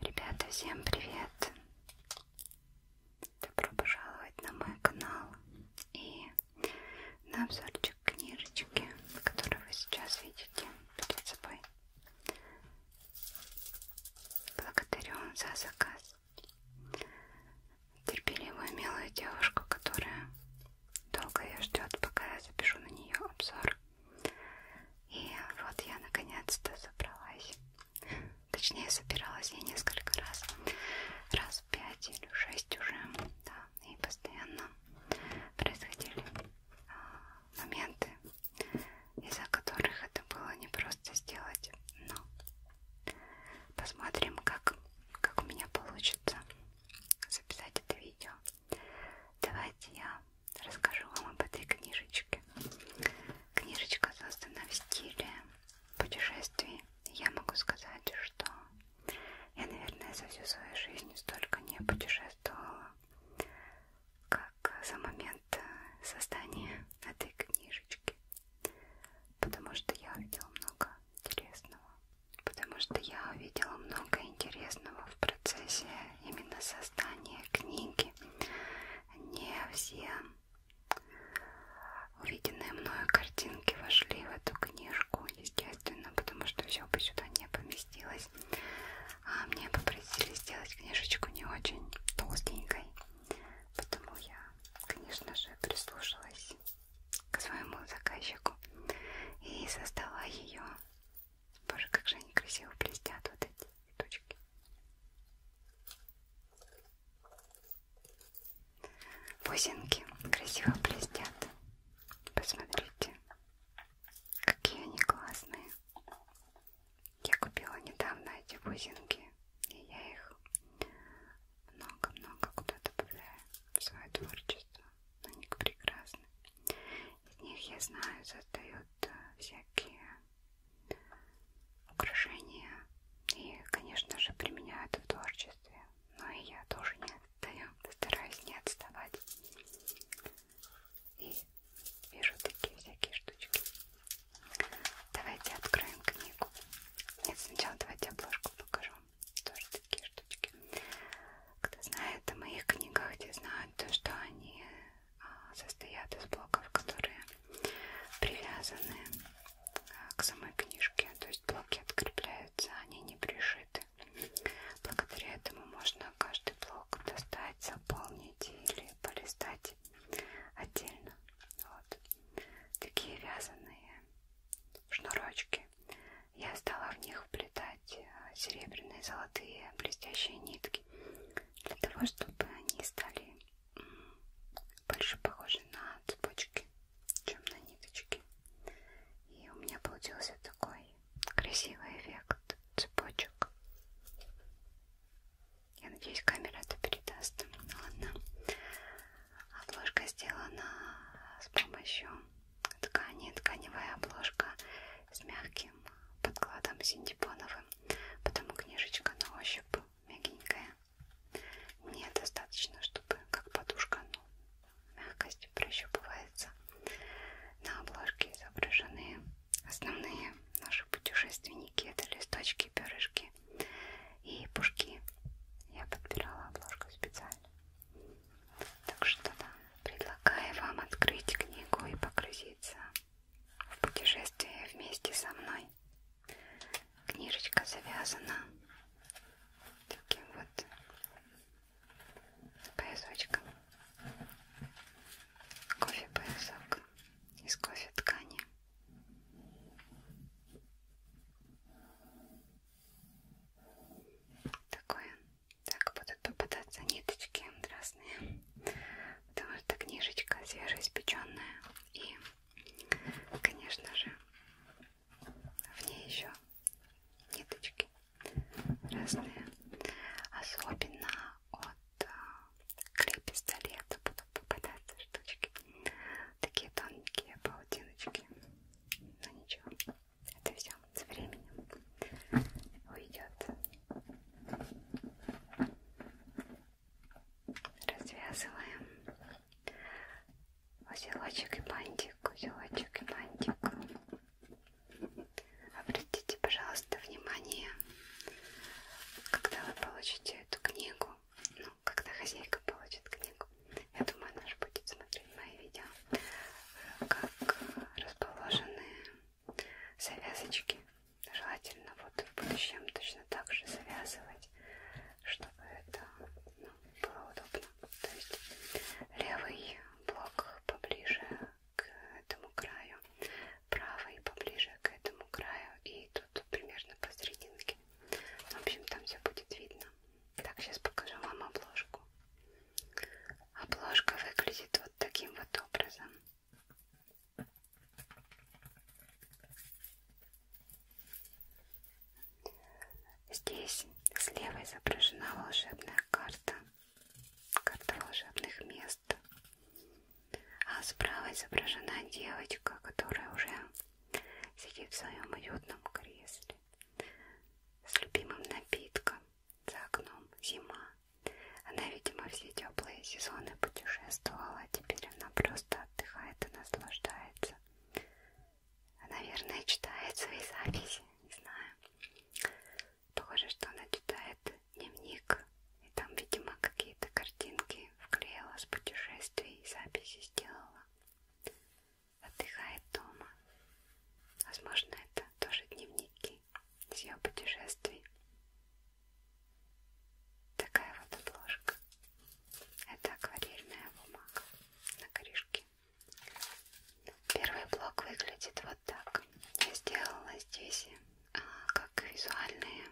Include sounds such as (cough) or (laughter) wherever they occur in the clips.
Ребята, всем привет! Добро пожаловать на мой канал и на обзорчик книжечки, которую вы сейчас видите перед собой. Благодарю за заказ. Терпеливую милую девушку, которая долго ее ждет, пока я запишу на нее обзор. И вот я наконец-то забралась. Точнее, собиралась я несколько раз. Раз пять или шесть уже. Да, и постоянно происходили а, моменты, из-за которых это было непросто сделать. Но посмотрим, как, как у меня получится записать это видео. Давайте я расскажу вам об этой книжечке. Книжечка создана в стиле путешествий. Я могу сказать, что я, наверное, за всю свою жизнь столько не путешествовала как за момент э, создания этой книжечки, потому что я увидела много интересного, потому что я увидела много интересного в процессе именно создания книги. Не все увиденные мною картинки вошли в эту книжку, естественно, потому что все бы сюда не поместилось. А мне попросили попросили сделать книжечку не очень толстенькой, потому я, конечно же, прислушалась к своему заказчику и создала ее. Боже, как же они красиво блестят, вот эти точки. Бусинки красиво блестят. Посмотрите, какие они классные. Я купила недавно эти бусинки, и я их много-много куда добавляю в свое творчество. Они прекрасны. Из них, я знаю, создают э, всякие украшения и, конечно же, применяют в творчестве. Но и я тоже не отстаю, стараюсь не отставать и вижу такие всякие штучки. Давайте откроем книгу. Нет, сначала давайте обложку покажу. Тоже такие штучки. Кто знает о моих книгах, те знают то, что они а, состоят из блоков, которые привязаны а, к самой книжке. То есть блоки открепляются, они не пришиты. Благодаря этому можно каждый блок достать, заполнить или полистать есть отдельно. Вот. Такие вязаные шнурочки. Я стала в них вплетать э, серебряные, золотые, блестящие нитки. Для того, чтобы они стали больше похожи на цепочки, чем на ниточки. И у меня получился такой красивый эффект цепочек. Я надеюсь, камера это передаст. Ну ладно. Обложка сделана с помощью ткани. Тканевая обложка с мягким подкладом синтепоновым. Потому книжечка на ощупь мягенькая. Мне достаточно, чтобы как подушка, но ну, мягкость прощупывается. На обложке изображены Основные наши путешественники это листочки, перышки и пушки. Я подбирала обложку специально. Так что да, предлагаю вам открыть книгу и погрузиться в путешествие вместе со мной. Книжечка завязана таким вот поясочком. Кофе поясок из кофе ткани. Такое. Так будут попадаться ниточки разные. Потому что книжечка свежеиспеченная. И, конечно же, в ней еще ниточки разные. Особенно от клей пистолета будут попадаться штучки. Такие тонкие паутиночки. Но ну, ничего, это все со временем уйдет. Развязываем узелочек и бантик, узелочек и бантик. Обратите, пожалуйста просто внимание, когда вы получите эту книгу, ну, когда хозяйка получит книгу, я думаю, она же будет смотреть мои видео, как расположены завязочки. Желательно вот в будущем точно так же завязывать, чтобы это ну, было удобно. То есть левый блок поближе к этому краю, правый поближе к этому краю и тут примерно посерединке. В общем, там все будет видно. Так, сейчас покажу вам обложку. Обложка выглядит вот таким вот образом. Здесь слева изображена волшебная карта, карта волшебных мест а справа изображена девочка, которая уже сидит в своем уютном кресле с любимым напитком за окном зима. Она, видимо, все теплые сезоны путешествовала, а теперь она просто отдыхает и наслаждается. Наверное, читает свои записи, не знаю. Похоже, что она читает дневник, и там, видимо, какие-то картинки вклеила с путешествий, записи сделала. Отдыхает дома. Возможно, это тоже дневники с ее путешествий. Такая вот обложка. Это акварельная бумага на корешке. Первый блок выглядит вот так. Я сделала здесь а, как визуальные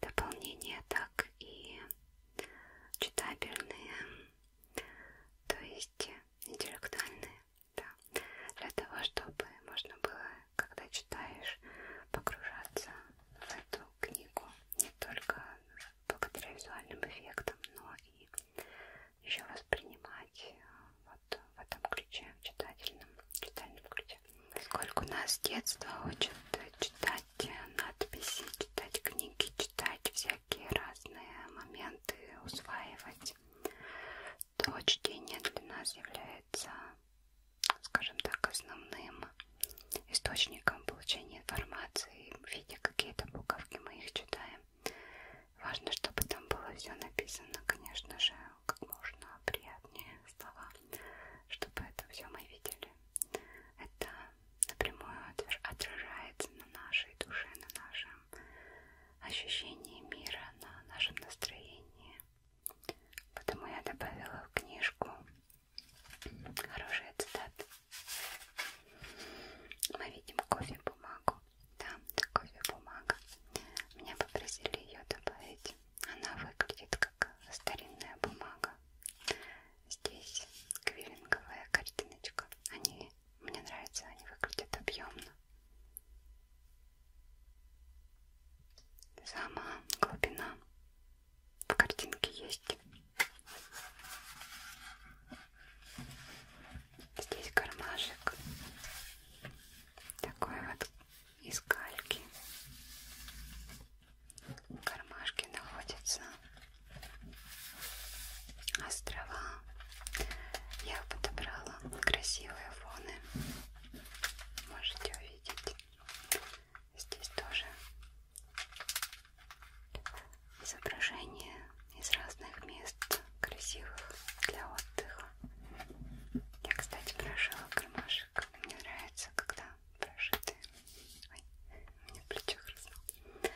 дополнения, так и читабельные, то есть интеллектуальные, да, для того, чтобы можно было, когда читаешь, погружаться в эту книгу не только благодаря визуальным эффектам, но и еще воспринимать э, вот в этом ключе, в читательном, в читальном ключе поскольку нас с детства учат читать надписи, читать книги, читать всякие разные моменты, усваивать, то чтение для нас является, скажем так, основным источником получения информации. Видя какие-то буковки, мы их читаем. Важно, чтобы там было все написано, конечно же, как можно приятнее слова, чтобы это все мы видели. Это напрямую отражается на нашей душе, на нашем ощущении мира, на нашем настроении. Поэтому я добавила в книжку хорошие цитаты. Мы видим кофе-бумагу. Да, это кофе-бумага. Меня попросили ее добавить. Она выглядит как старинная бумага. Здесь квиллинговая картиночка. Они мне нравятся, они выглядят объемно. Сама глубина в картинке есть. Здесь кармашек. Такой вот из кальки. В кармашке находятся острова. Я подобрала красивые фоны. Можете увидеть. Здесь тоже изображения из разных мест красивых для отдыха. Я, кстати, прошила кармаш пряжек. Мне нравится, когда прошитые. Ой, у меня плечо хрустнуло.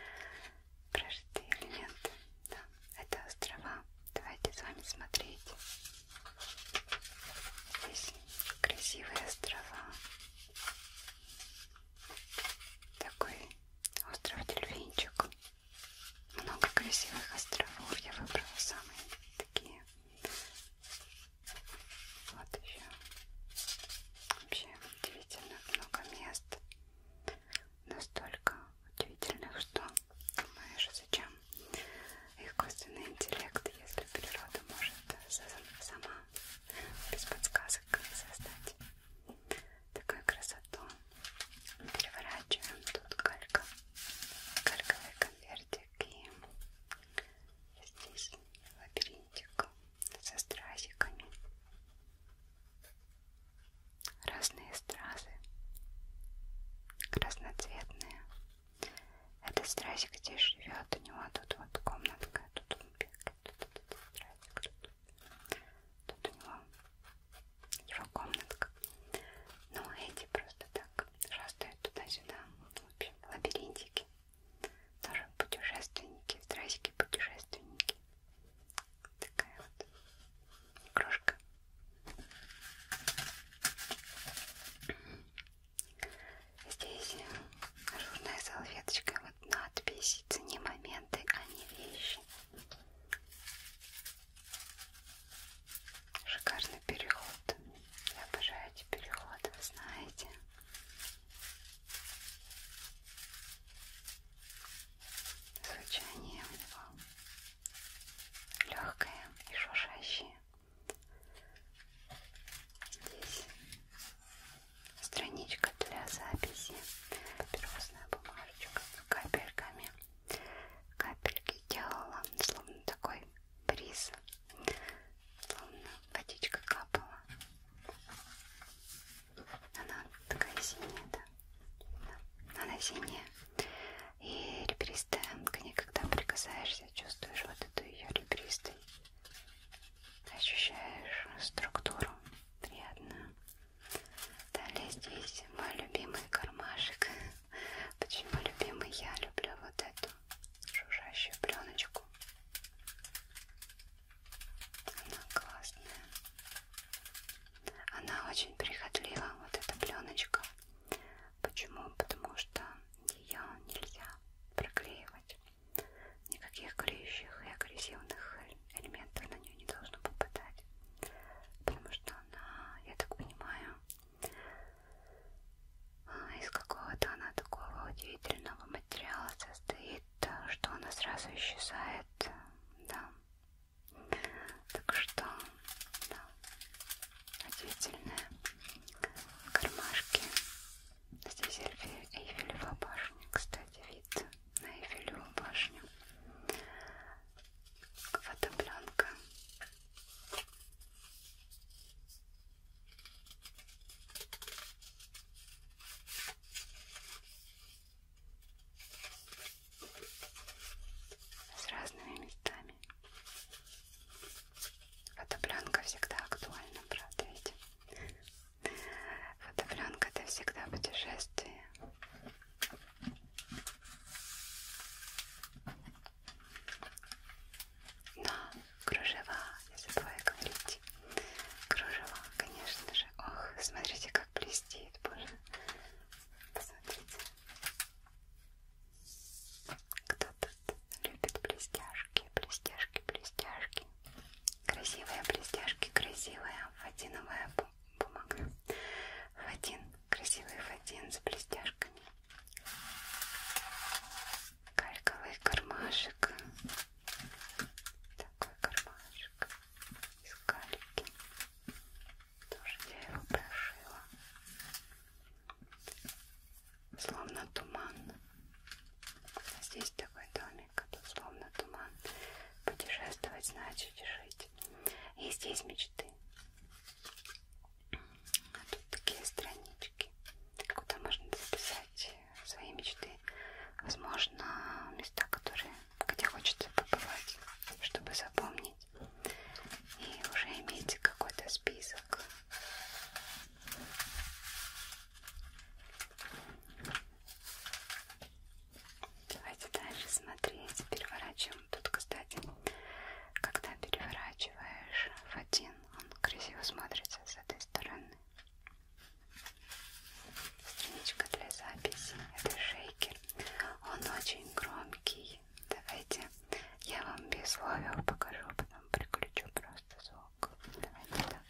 Прожитые элементы. Да, это острова. Давайте с вами смотреть. Здесь красивые острова. Такой остров Дельвинчик. Много красивых островов. Я выбрала самые такие Латвия. Вообще удивительно много мест. Настолько удивительных, что думаешь, зачем искусственный интеллект, если природа может сама без подсказок создать такую красоту. Переворачиваем тут калька, кальковый конвертик и Здесь лабиринтик со стразиками. Разные стразы. Разноцветные. Этот стразик здесь живет. У него тут вот комнатка. Тут он бегает. Тут этот стразик. Тут, тут у него его комнатка. Но ну, а эти просто так шастают туда-сюда. В общем, лабиринтики. Тоже путешественники, здрасьте, путешественники. Такая вот игрушка. Здесь ажурная салфеточка, вот надпись, цени моменты, а не вещи. Шикарный переход я обожаю эти переходы, вы знаете. Звучание у него легкое и шуршащее. Здесь страничка для записи. Папиросная бумажечка с капельками. Капельки делала, словно такой бриз, словно водичка капала. Она такая синяя, да? да. Она синяя. И ребристая, к ней когда прикасаешься, чувствуешь вот эту ее ребристую. Ощущаешь структуру приятную. Далее здесь мой любимый кармашек. Почему (laughs) любимый? Я люблю вот эту жужжащую пленочку. Она классная. Она очень прихотлива, вот эта пленочка. Почему? Потому что ее нельзя проклеивать. Никаких клеющих и агрессивных элементов на нее не должно попадать. Потому что она, я так понимаю, из какого-то она такого удивительного материала состоит, что она сразу исчезает, да. Так что, да, удивительные кармашки. Здесь Эйфелева башня, кстати, вид на Эйфелеву башню. Фотопленка с разными местами. Фотопленка всегда актуальна, правда ведь? Фотопленка это всегда путешествие. Но кружева, не забывай говорить. Кружева, конечно же. Ох, смотрите, как блестит, боже. Посмотрите. Кто тут любит блестяшки, блестяшки, блестяшки. Красивые блестяшки, красивая фатиновая бумага. Фатин, красивый фатин с блестяшками кальковый кармашек. Такой кармашек из кальки. Тоже я его прошила. Словно туман. Здесь такой домик, а тут словно туман. Путешествовать значит жить. И здесь мечты. А тут такие странички карточки, куда можно записать э, свои мечты, возможно, места, которые, где хочется побывать, чтобы запомнить, и уже иметь какой-то список. Давайте дальше смотреть. Переворачиваем. Тут, кстати, когда переворачиваешь в один он красиво смотрится с этой стороны. Страничка для записи. Это шейкер. Он очень громкий. Давайте я вам без слова покажу, а потом приключу просто звук. Давайте так.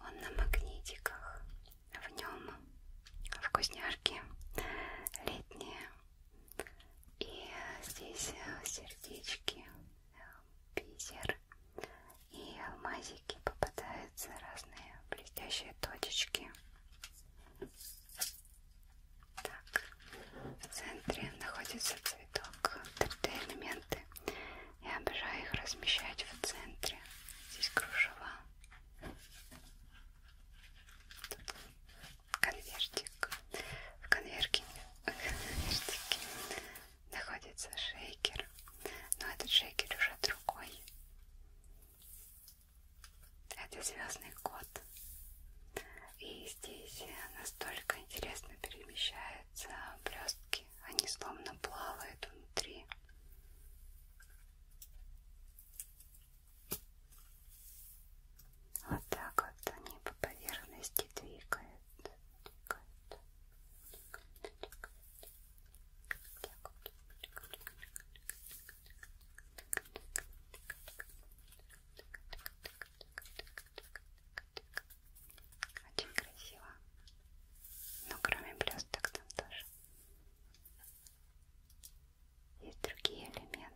Он на магнитиках, в нем вкусняшки летние, и здесь э, сердечки, э, бисер и алмазики попадаются разные блестящие точечки. Так, в центре находится цветок 3D элементы. Я обожаю их размещать в центре. Здесь кружева. Тут конвертик. В конверке, (laughs) конвертике находится шейкер, но этот шейкер уже другой. Это звездный кот. И здесь настолько интересно перемещаются блестки. Они словно плавают внутри. Вот так вот они по поверхности двигают. Очень красиво. Но ну, кроме блесток там тоже есть другие элементы.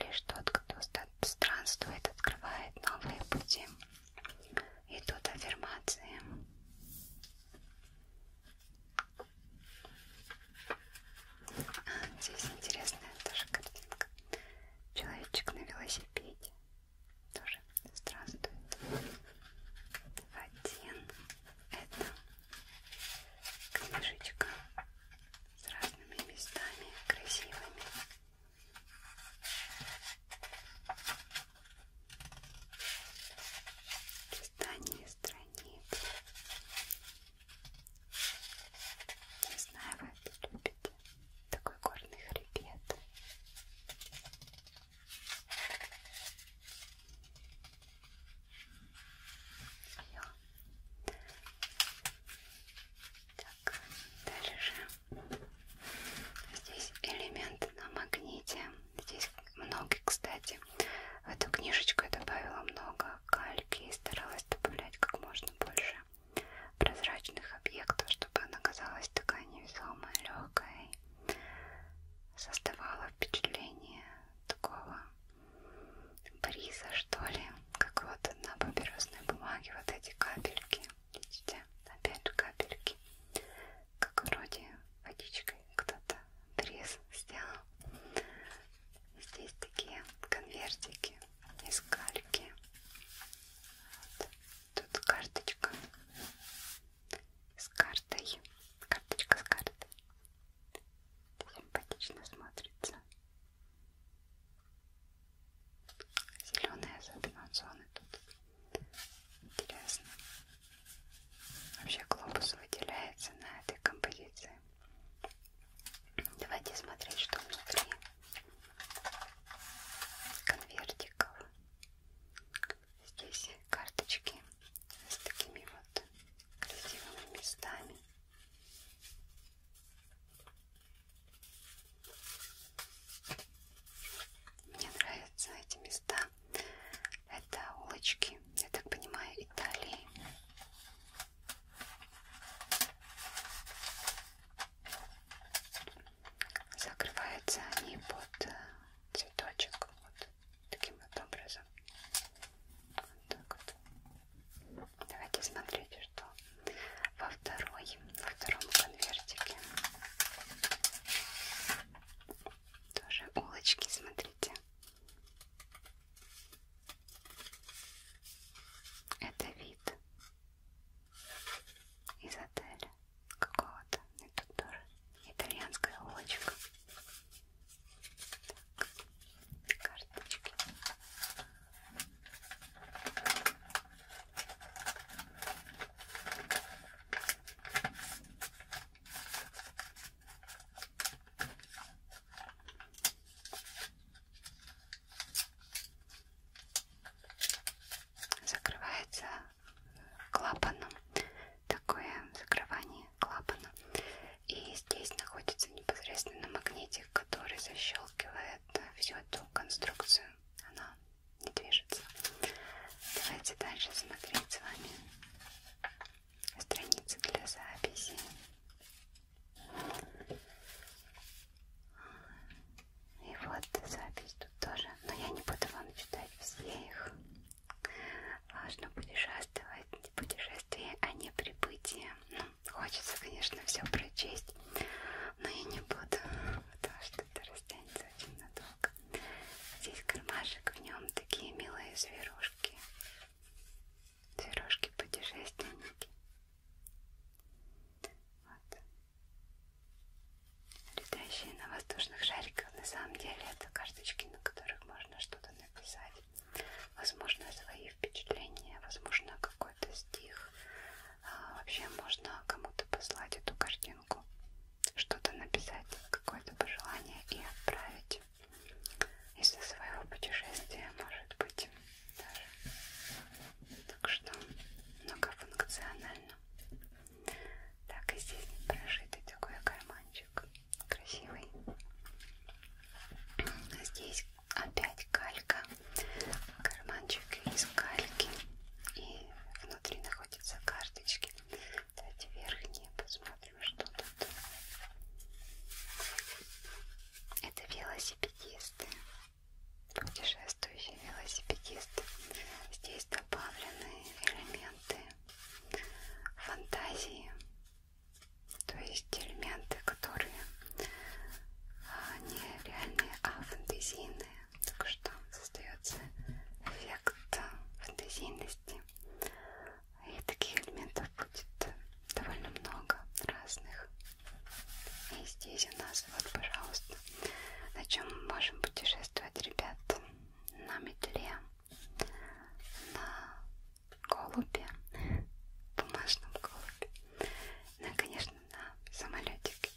Лишь тот, кто странствует, открывает новые пути. Идут аффирмации. А, здесь интересная тоже картинка. Человечек на велосипеде. Тоже странствует. Один. Это книжечка с разными местами красивыми. Листание страниц. Не знаю, вы это любите. Такой горный хребет. Все. Так, дальше. Здесь элемент на магните. Здесь много, кстати. В эту книжечку я добавила много кальки и старалась добавлять как можно больше прозрачных объектов, чтобы она казалась такая невесомая, легкая, создавала впечатление такого бриза, что ли, как вот на папиросной бумаге вот эти капельки, видите, опять же капельки, как вроде водичкой кто-то бриз сделал. Здесь такие конвертики из кальки. Вот. Тут карточка с картой. Карточка с картой. Это симпатично смотрится. Зеленые зоны тут. Интересно. Вообще глобус выделяется на этой композиции. Давайте смотреть, что внутри конвертиков. Здесь карточки с такими вот красивыми местами. Мне нравятся эти места. Это улочки, я так понимаю, Италии. Закрываются они под э, цветочек вот таким вот образом. Вот так вот. Давайте смотреть, что во второй, во втором конвертике. Тоже улочки, смотрите. Это вид из отеля какого-то. Это тоже итальянская улочка карточки. Закрывается клапаном. Такое закрывание клапана. И здесь находится непосредственно магнитик, который защелкивает э, всю эту конструкцию. Она не движется. Давайте дальше смотреть с вами страницы для записи. И вот запись тут тоже, но я не буду вам читать все их. Важно путешествовать, путешествие, а не прибытие. Ну, Хочется, конечно, все прочесть, но я не буду, потому что это растянется очень надолго. Здесь кармашек, в нем такие милые зверушки. Зверушки-путешественники. Вот. Летающие на воздушных шариках, на самом деле, это карточки, на которых можно что-то написать возможно, свои впечатления, возможно, какой-то стих. А, вообще можно кому-то послать эту картинку, что-то написать, какое-то пожелание и отправить из-за своего путешествия, может быть, даже. Так что многофункционально. Так, и здесь прошитый такой карманчик красивый. Здесь опять калька, карманчик из кальки и внутри находятся карточки. Давайте верхние посмотрим, что тут. Это велосипедисты, путешествующие велосипедисты. Здесь добавлены элементы фантазии, то есть элементы, которые а, не реальные, а фантазийные. Так что создается эффект фантазийности. И таких элементов будет довольно много разных. И здесь у нас вот, пожалуйста, на чем мы можем путешествовать, ребят, на метле, на голубе, бумажном голубе, ну и, конечно, на самолетике.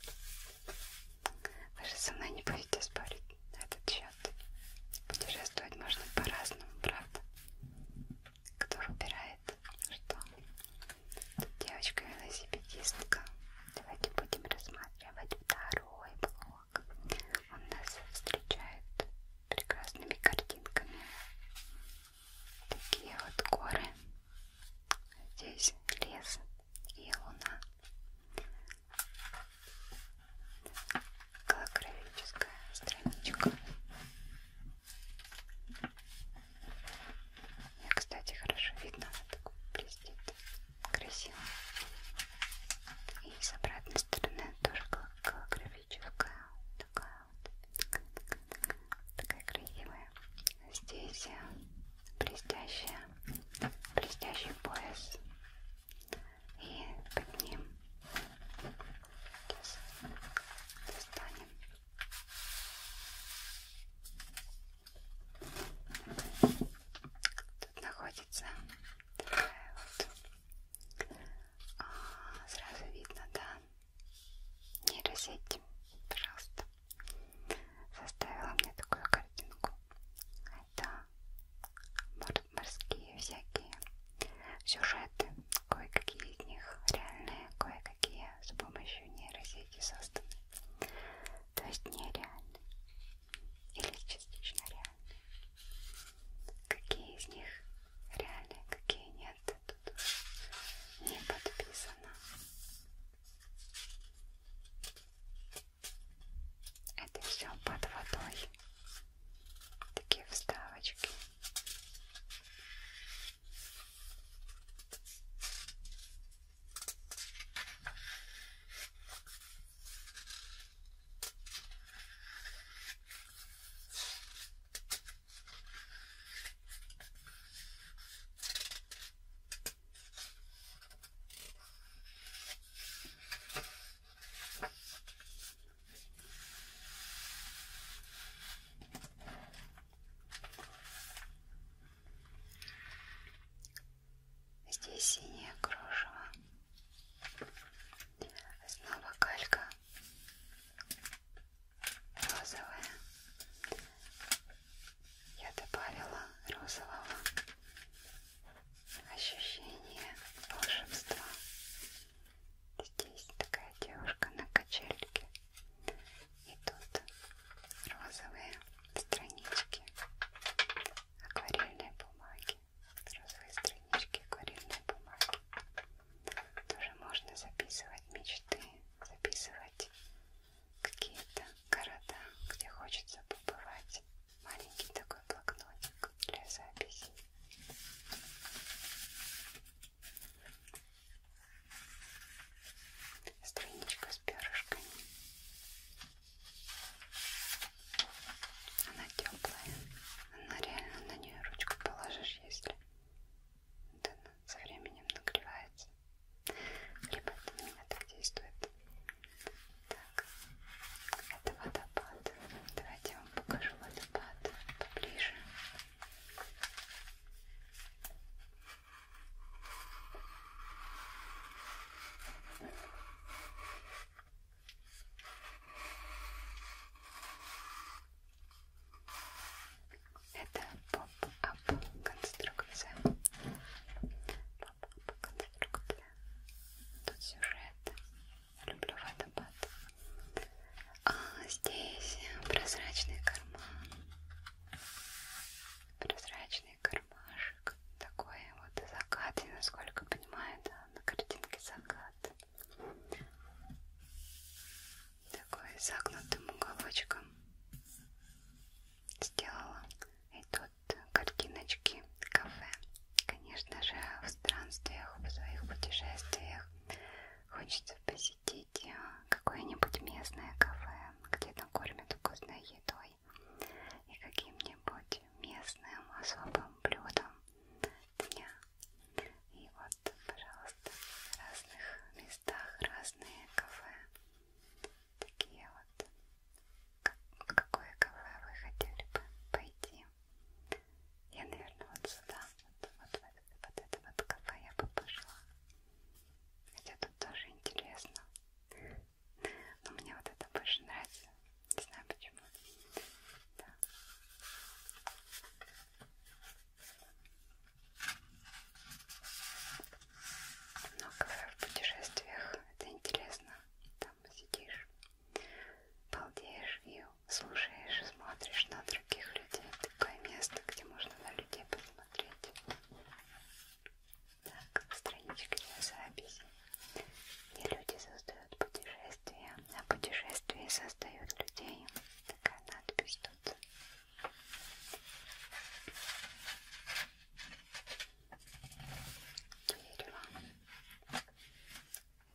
Вы же со мной не будете спорить на этот счет. Путешествовать можно по-разному, правда? Кто выбирает, что? Тут девочка-велосипедистка. Давайте будем рассматривать второй блок. Он нас встречает прекрасными картинками Такие вот горы. Здесь лес и луна. Колокровическая страничка. Я, кстати, хорошо видно, она так блестит. Красиво. И с обратной стороны тоже колокровическая такая Такая красивая. Здесь э, блестящая, блестящий пояс. И под ним сейчас достанем. Тут находится такая вот. А, сразу видно, да, нейросеть, пожалуйста, составила мне такую картинку. Это морские всякие сюжеты, кое-какие из них реальные, кое-какие с помощью нейросети созданы. То есть нереальные или частично реальные. Какие из них реальные, какие нет, тут не подписано. Это все под водой. Такие вставочки. Здесь синее кружево, снова калька, розовое. Я добавила розового ощущения волшебства. Здесь такая девушка на качельке. И тут розовые странички акварельной бумаги. Розовые странички акварельной бумаги тоже можно записывать мечты, записывать какие-то города, где хочется побывать. Маленький такой блокнотик для записи. Страничка с перышками. Она теплая. Она реально на нее ручку положишь, если вот она со временем нагревается. Либо это на меня так действует. Так, это водопад. Давайте я вам покажу водопад поближе. Это поп-ап конструкция. Поп-ап конструкция. Тут сюжет. Люблю водопад. А здесь прозрачный карман. Прозрачный кармашек. Такой вот закат. И насколько понимаю, да, на картинке закат такой загнутым уголочком сделала. И тут картиночки кафе. Конечно же, в странствиях, в своих путешествиях хочется посетить э, какое-нибудь местное кафе, где накормят вкусной едой и каким-нибудь местным особым блюдом дня. И вот, пожалуйста, в разных местах разные кафе. Такие вот. В какое кафе вы хотели бы пойти? Я, наверное, вот сюда, вот, вот, в это, вот это вот кафе я бы пошла. Хотя тут тоже интересно. Но мне вот это больше нравится. Не знаю почему. Да. Много в путешествиях это интересно. Там сидишь, балдеешь и слушаешь, смотришь на других людей. Такое место, где можно на людей посмотреть. Так, страничка для записи. Не люди создают путешествия, а путешествия создают людей. Такая надпись тут. Дерево.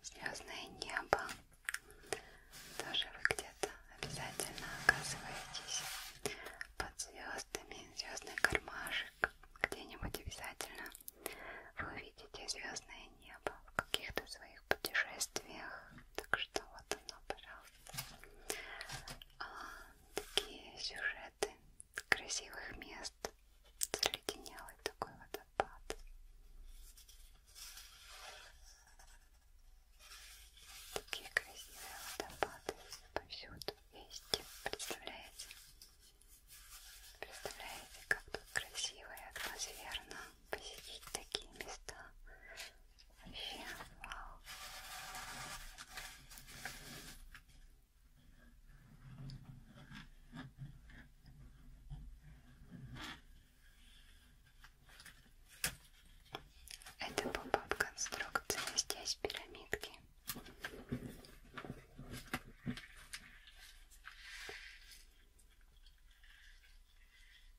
Звездное небо. Тоже вы где-то обязательно оказываетесь под звездами. Звездный кармашек. Где-нибудь обязательно вы увидите звездное небо в каких-то своих путешествиях. Так что вот оно, пожалуйста а, такие сюжеты красивых мест, заледенелый такой водопад. Такие красивые водопады повсюду есть, представляете? Представляете, как тут красиво и атмосферно посетить такие места Вообще, вау. Это был пап конструкция здесь пирамидки.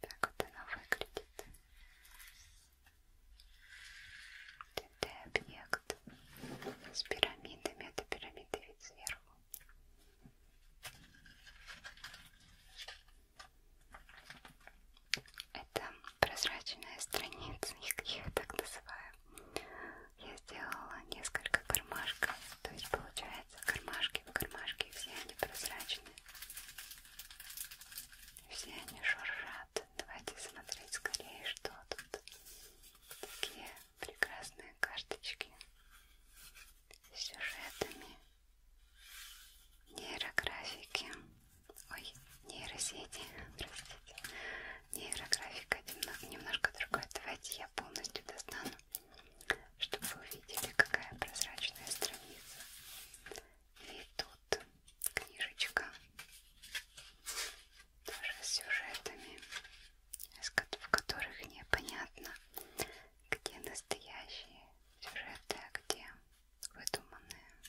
Так вот она выглядит. ТТ-объект с пирамидами. Это пирамиды вид сверху. Это прозрачная страница, я (laughs) их так называю. Я сделала несколько кармашков, то есть получается кармашки в кармашке, все они прозрачные. Все они шуршат. Давайте смотреть скорее, что тут. Такие прекрасные карточки с сюжетами. Нейрографики. Ой, нейросети, (laughs) простите. Нейрографика немножко другая. Давайте я полностью достану, чтобы вы увидели, какая прозрачная страница. И тут книжечка тоже с сюжетами, в которых непонятно, где настоящие сюжеты, а где выдуманные.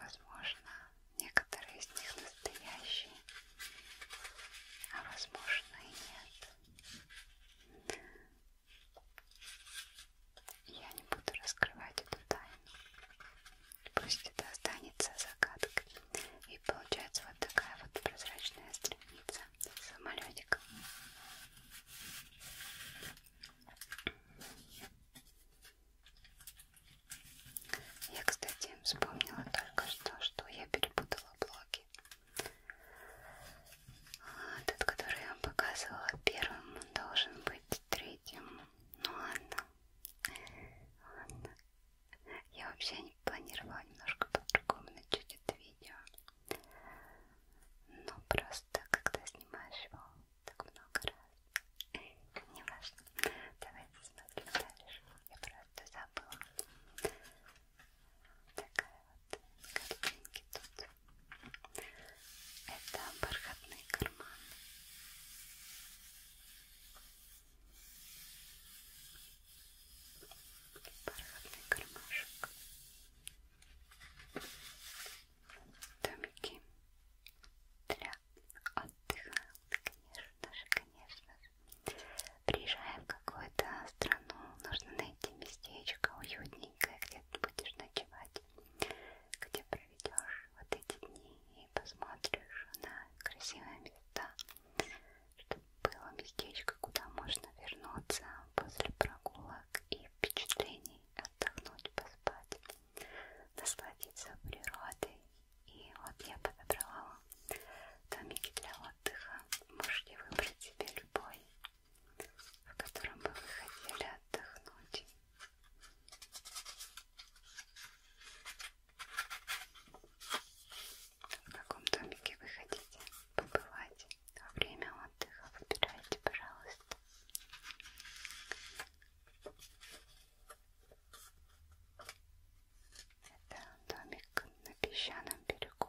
Возможно, некоторые из них настоящие, а возможно и нет. Я не буду раскрывать эту тайну. Пусть это останется загадкой. И получается вот такая вот прозрачная страница самолетиком. Я, кстати, вспомнила только что, что я перепутала блоки. Тот, который я вам показывала первым, он должен быть третьим. Ну ладно. Ладно. Я вообще не планировала немножко по-другому начать это видео. Но просто, когда снимаешь его так много раз, не важно. Давайте смотрим дальше. Я просто забыла. Такая вот картинки тут. Это бархатный карман. Бархатный кармашек. Домики для отдыха. Конечно же, конечно же. Приезжаем какую-то страну, нужно найти местечко уютненькое, где ты будешь ночевать, где проведешь вот эти дни и посмотришь на красивые места, чтобы было местечко, куда можно вернуться после прогулок и впечатлений, отдохнуть, поспать, насладиться природой. И вот я подобрала домики для отдыха. Можете выбрать себе любой о котором бы вы хотели отдохнуть. В каком домике вы хотите побывать во время отдыха? Выбирайте, пожалуйста. Это домик на песчаном берегу.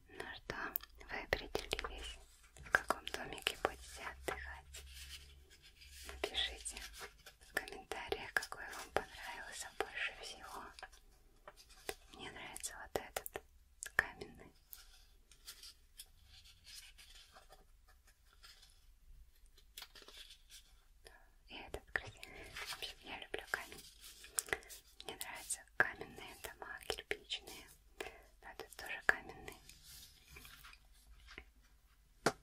Ну что, вы определились, в каком домике будете отдыхать? Напишите в комментариях, какой вам понравился больше всего. Мне нравится вот этот каменный. И этот красивый. В общем, я люблю камень. Мне нравятся каменные дома, кирпичные но а этот тоже каменный. Так,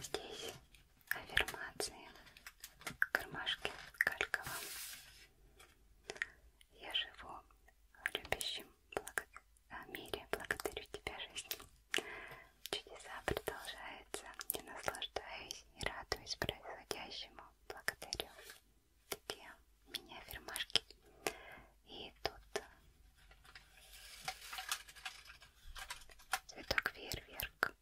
здесь аффирмации кармашки кальковом я живу в любящем благо... Э, мире, благодарю тебя, жизнь. Чудеса продолжаются, я наслаждаюсь и радуюсь происходящему. Благодарю тебе, меня, фирмашки. И тут э, цветок фейерверк.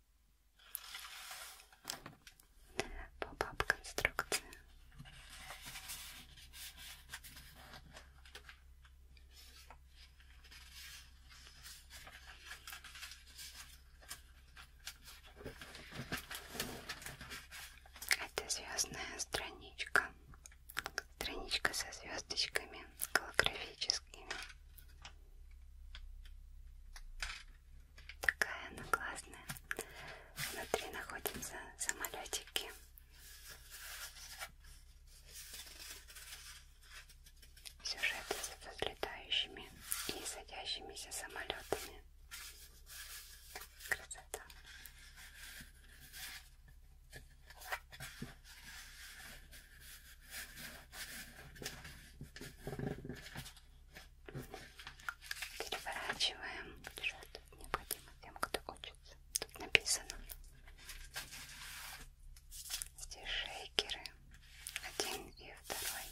Попап конструкция. Это звездная страничка. Страничка со звездочками голографическими. Такая она классная. Внутри находятся самолетики. Сюжеты с взлетающими и садящимися самолетами. Красота. Переворачиваем бюджет необходимо тем, кто учится. Тут написано. Здесь шейкеры. Один и второй.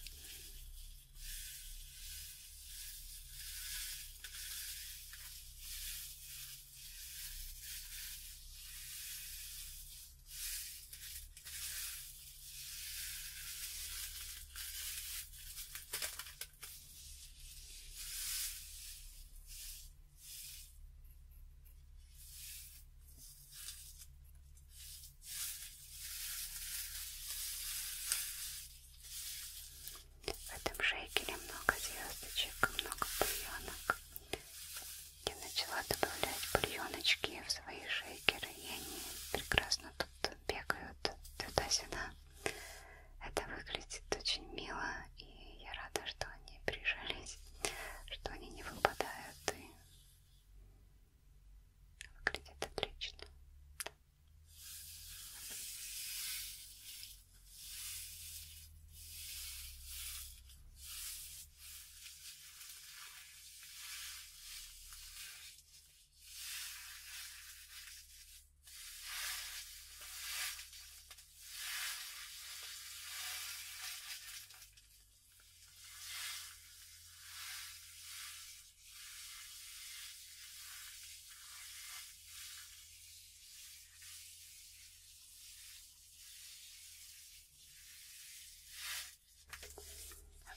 В этом шейкере много звездочек, много бульонок. Я начала добавлять бульоночки в свои шейкеры, и они прекрасно тут бегают туда-сюда. Это выглядит очень мило, и я рада, что они прижились, что они не выпадают и выглядит отлично.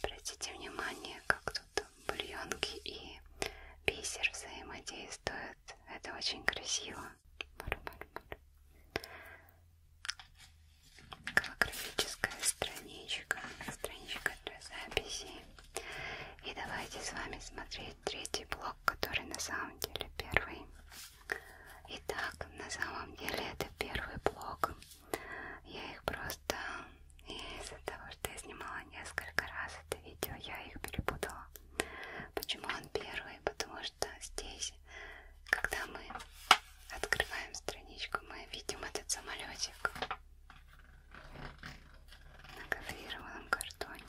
Обратите внимание, как тут бульонки и бисер взаимодействуют. Это очень красиво. Голографическая страничка, страничка для записи. И давайте с вами смотреть третий блок, который на самом деле первый. Итак, на самом деле это первый блок. Я их просто из этого что я снимала несколько раз это видео, я их перепутала. Почему он первый? Потому что здесь, когда мы открываем страничку, мы видим этот самолетик на гофрированном картоне.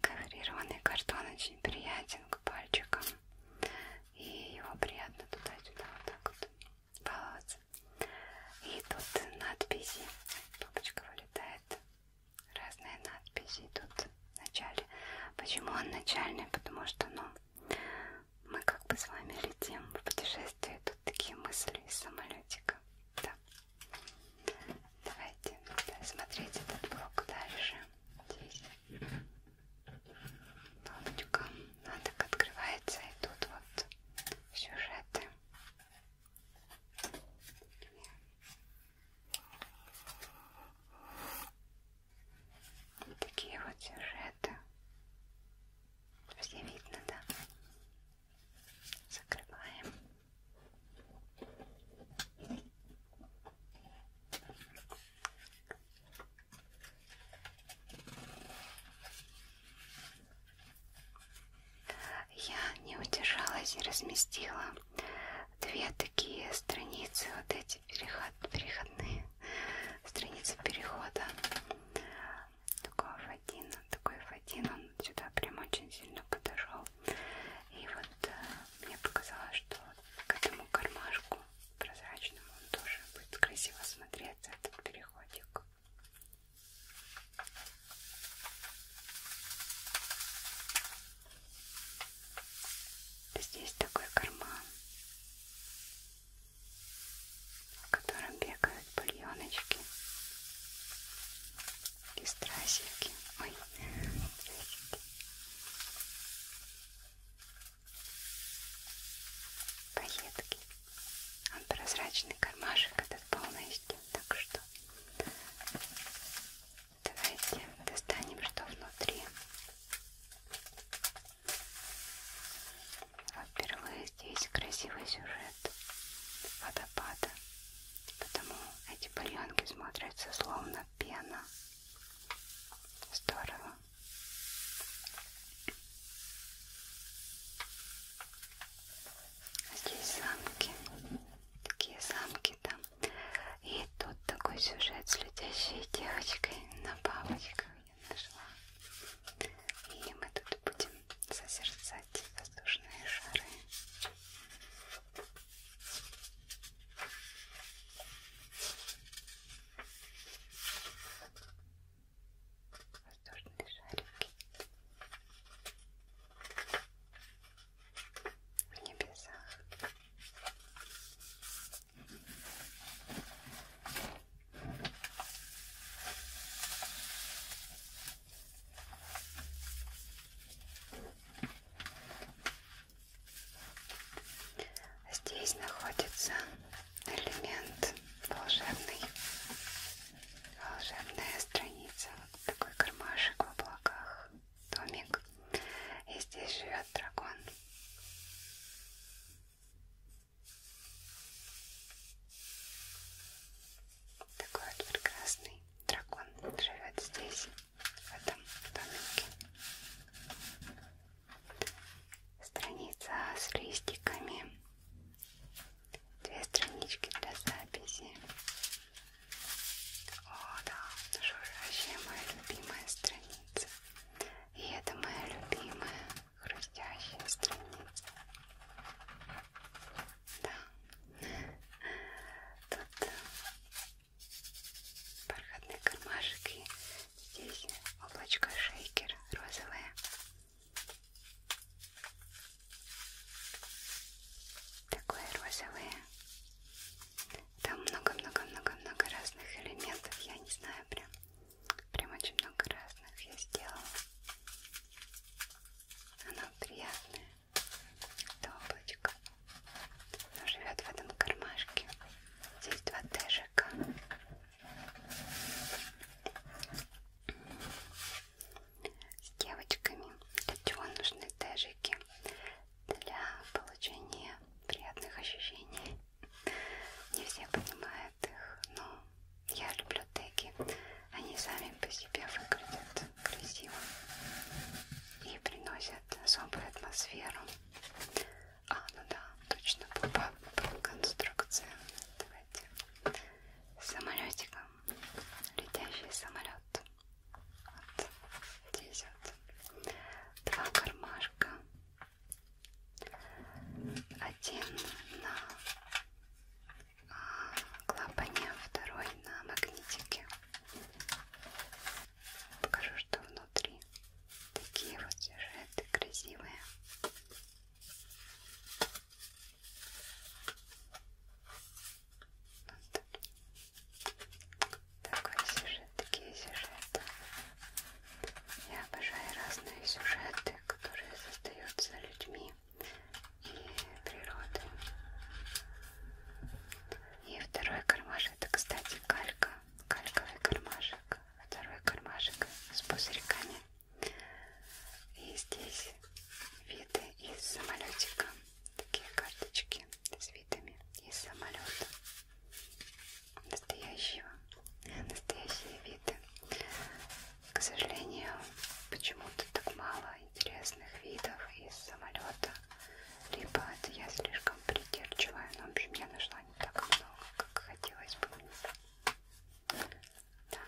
Коврированный картон очень приятен к пальчикам. И его приятно туда-сюда вот так вот баловаться. И тут надписи. Папочка вылетает. Разные надписи тут в начале. Почему он начальный? Потому что, ну, мы как бы с вами летим в путешествие. Тут такие мысли из самолетика. Да. Давайте смотреть этот блок дальше. Здесь кнопочка. Она так открывается. И тут вот сюжеты. Вот такие вот сюжеты. Все видно, да? Закрываем. Я не удержалась и разместила две такие страницы вот эти эти переход, переходные страницы перехода. Такой F1, такой F1, он сюда прям очень сильно подошел. И вот э, мне показалось, что к этому кармашку прозрачному он тоже будет красиво смотреться, этот переходик. Здесь такой карман в котором бегают бульоночки и страсики. Ой, страсики. Поетки. Он прозрачный кармашек этот полностью, так что давайте достанем что внутри. Впервые здесь красивый сюжет водопада, потому эти бальонки смотрятся словно пена. Здорово. Здесь замки, такие замки там. И тут такой сюжет с летящей девочкой на бабочках я нашла. И мы тут будем созерцать воздушные шары. Воздушные шарики в небесах Здесь находится элемент волшебный, волшебная страница, вот такой кармашек в облаках, домик, и здесь живет дракон. Такой вот прекрасный дракон живет здесь, в этом домике. Страница с листиками. Две странички для записи. О, да, это же вообще моя любимая страница. И это моя любимая хрустящая страница. Да, тут э, бархатный кармашек и здесь облачко шейкер розовое. Такое розовое. Там много-много-много-много разных элементов. Я не знаю прям Прям очень много разных я сделала. Она приятная. Это облачко. Оно живет в этом кармашке. Здесь два тэжика. С девочками. Для чего нужны тэжики? Для получения приятных ощущений не все понимают их, но я люблю теги. Они сами по себе выглядят красиво и приносят особую атмосферу. А, ну да, точно попал конструкция. Давайте с самолетиком. Летящий самолет. Вот здесь вот. Два кармашка. Один на а, клапане, а второй на магнитике. Покажу, что внутри. Такие вот сюжеты красивые. Вот. Такой сюжет, такие сюжеты. Я обожаю разные сюжеты, которые создаются людьми и природой. И второй кармашек, это, кстати, калька, кальковый кармашек, второй кармашек с пузырьками. И здесь виды из самолетика, такие карточки с видами из самолета настоящего, настоящие виды. К сожалению, почему-то так мало интересных видов из самолета. Либо это я слишком придирчивая, но в общем я нашла не так много, как хотелось бы мне. Да.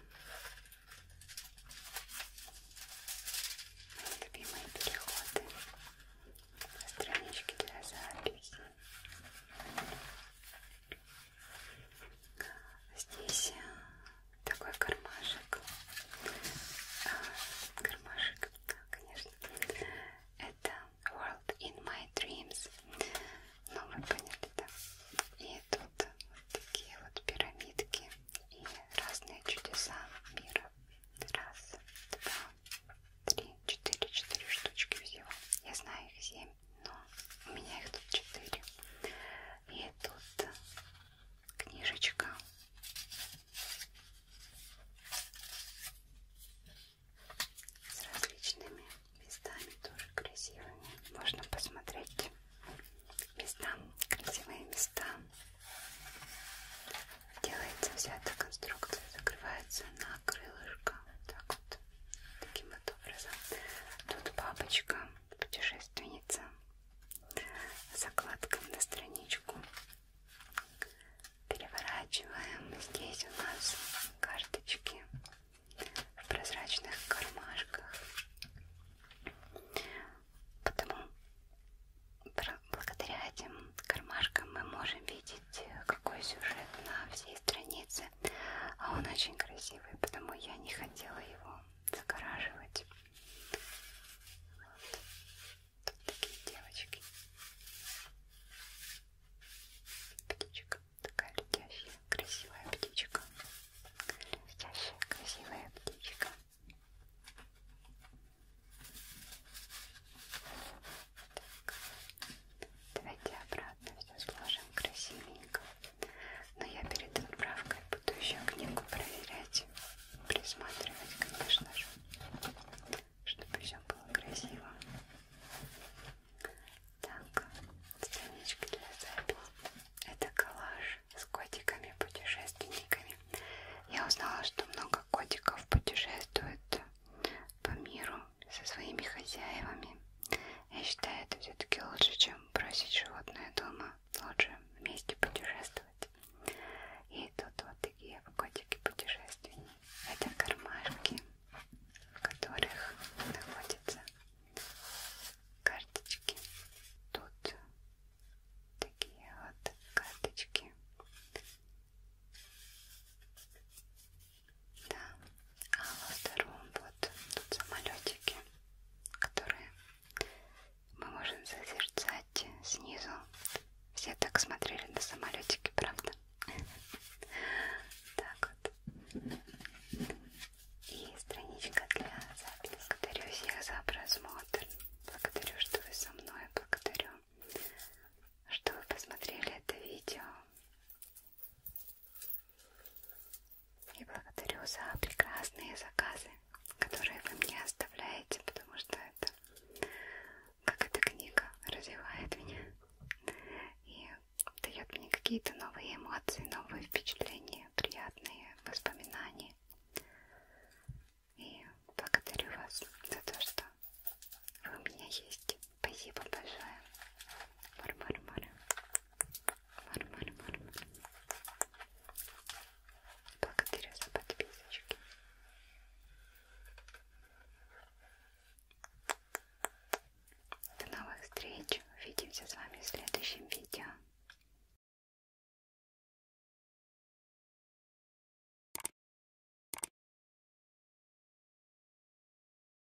Мои любимые переходы. Странички для записи. Здесь э, такой кармашек. А, кармашек, конечно. Это World in My Dreams. Ну, вы поняли, да? И тут вот такие вот пирамидки и разные чудеса мира. Раз, два, три, четыре, четыре штучки всего. Я знаю их семь но у меня их тут четыре. И тут книжечка. С различными местами тоже красивыми. Можно посмотреть места, красивые места. Делается вся эта конструкция, закрывается на крылышко. Так вот. Таким вот образом. Тут бабочка, путешественница. Закладка на страничку. Переворачиваем. Здесь у нас карточки в прозрачных кармашках. Потому благодаря этим кармашкам мы можем видеть, э, какой сюжет на всей странице оказался. А он очень красивый, потому я не хотела его загораживать. Вот. Тут такие девочки. Птичка. Такая летящая, красивая птичка. Летящая, красивая птичка. Так. Давайте обратно аккуратно все сложим красивенько. Но я перед отправкой буду еще книгу проверять, присматривать, конечно же, чтобы все было красиво. Так, страничка для записи. Это коллаж с котиками-путешественниками. Я узнала, что много котиков путешествует по миру со своими хозяевами. Я считаю, это все-таки лучше, чем бросить животное дома. Лучше вместе путешествовать. И тут вот такие котики путешественники. Это кармашки, в которых находятся карточки. Тут такие вот карточки. Да. А во втором вот тут самолетики, которые мы можем созерцать снизу. Все так смотрели на самолетики, правда? Так вот. И страничка для записи. Благодарю всех за просмотр. Благодарю, что вы со мной. Благодарю, что вы посмотрели это видео. И благодарю за прекрасные заказы, которые вы мне оставляете, потому что это, как эта книга, развивает меня и дает мне какие-то новые эмоции, новые впечатления, приятные воспоминания. И благодарю вас за то, что вы у меня есть. Спасибо большое. Варвара, Варвара. Варвара, Варвара. Благодарю за подписочки. До новых встреч. Увидимся с вами в следующем видео.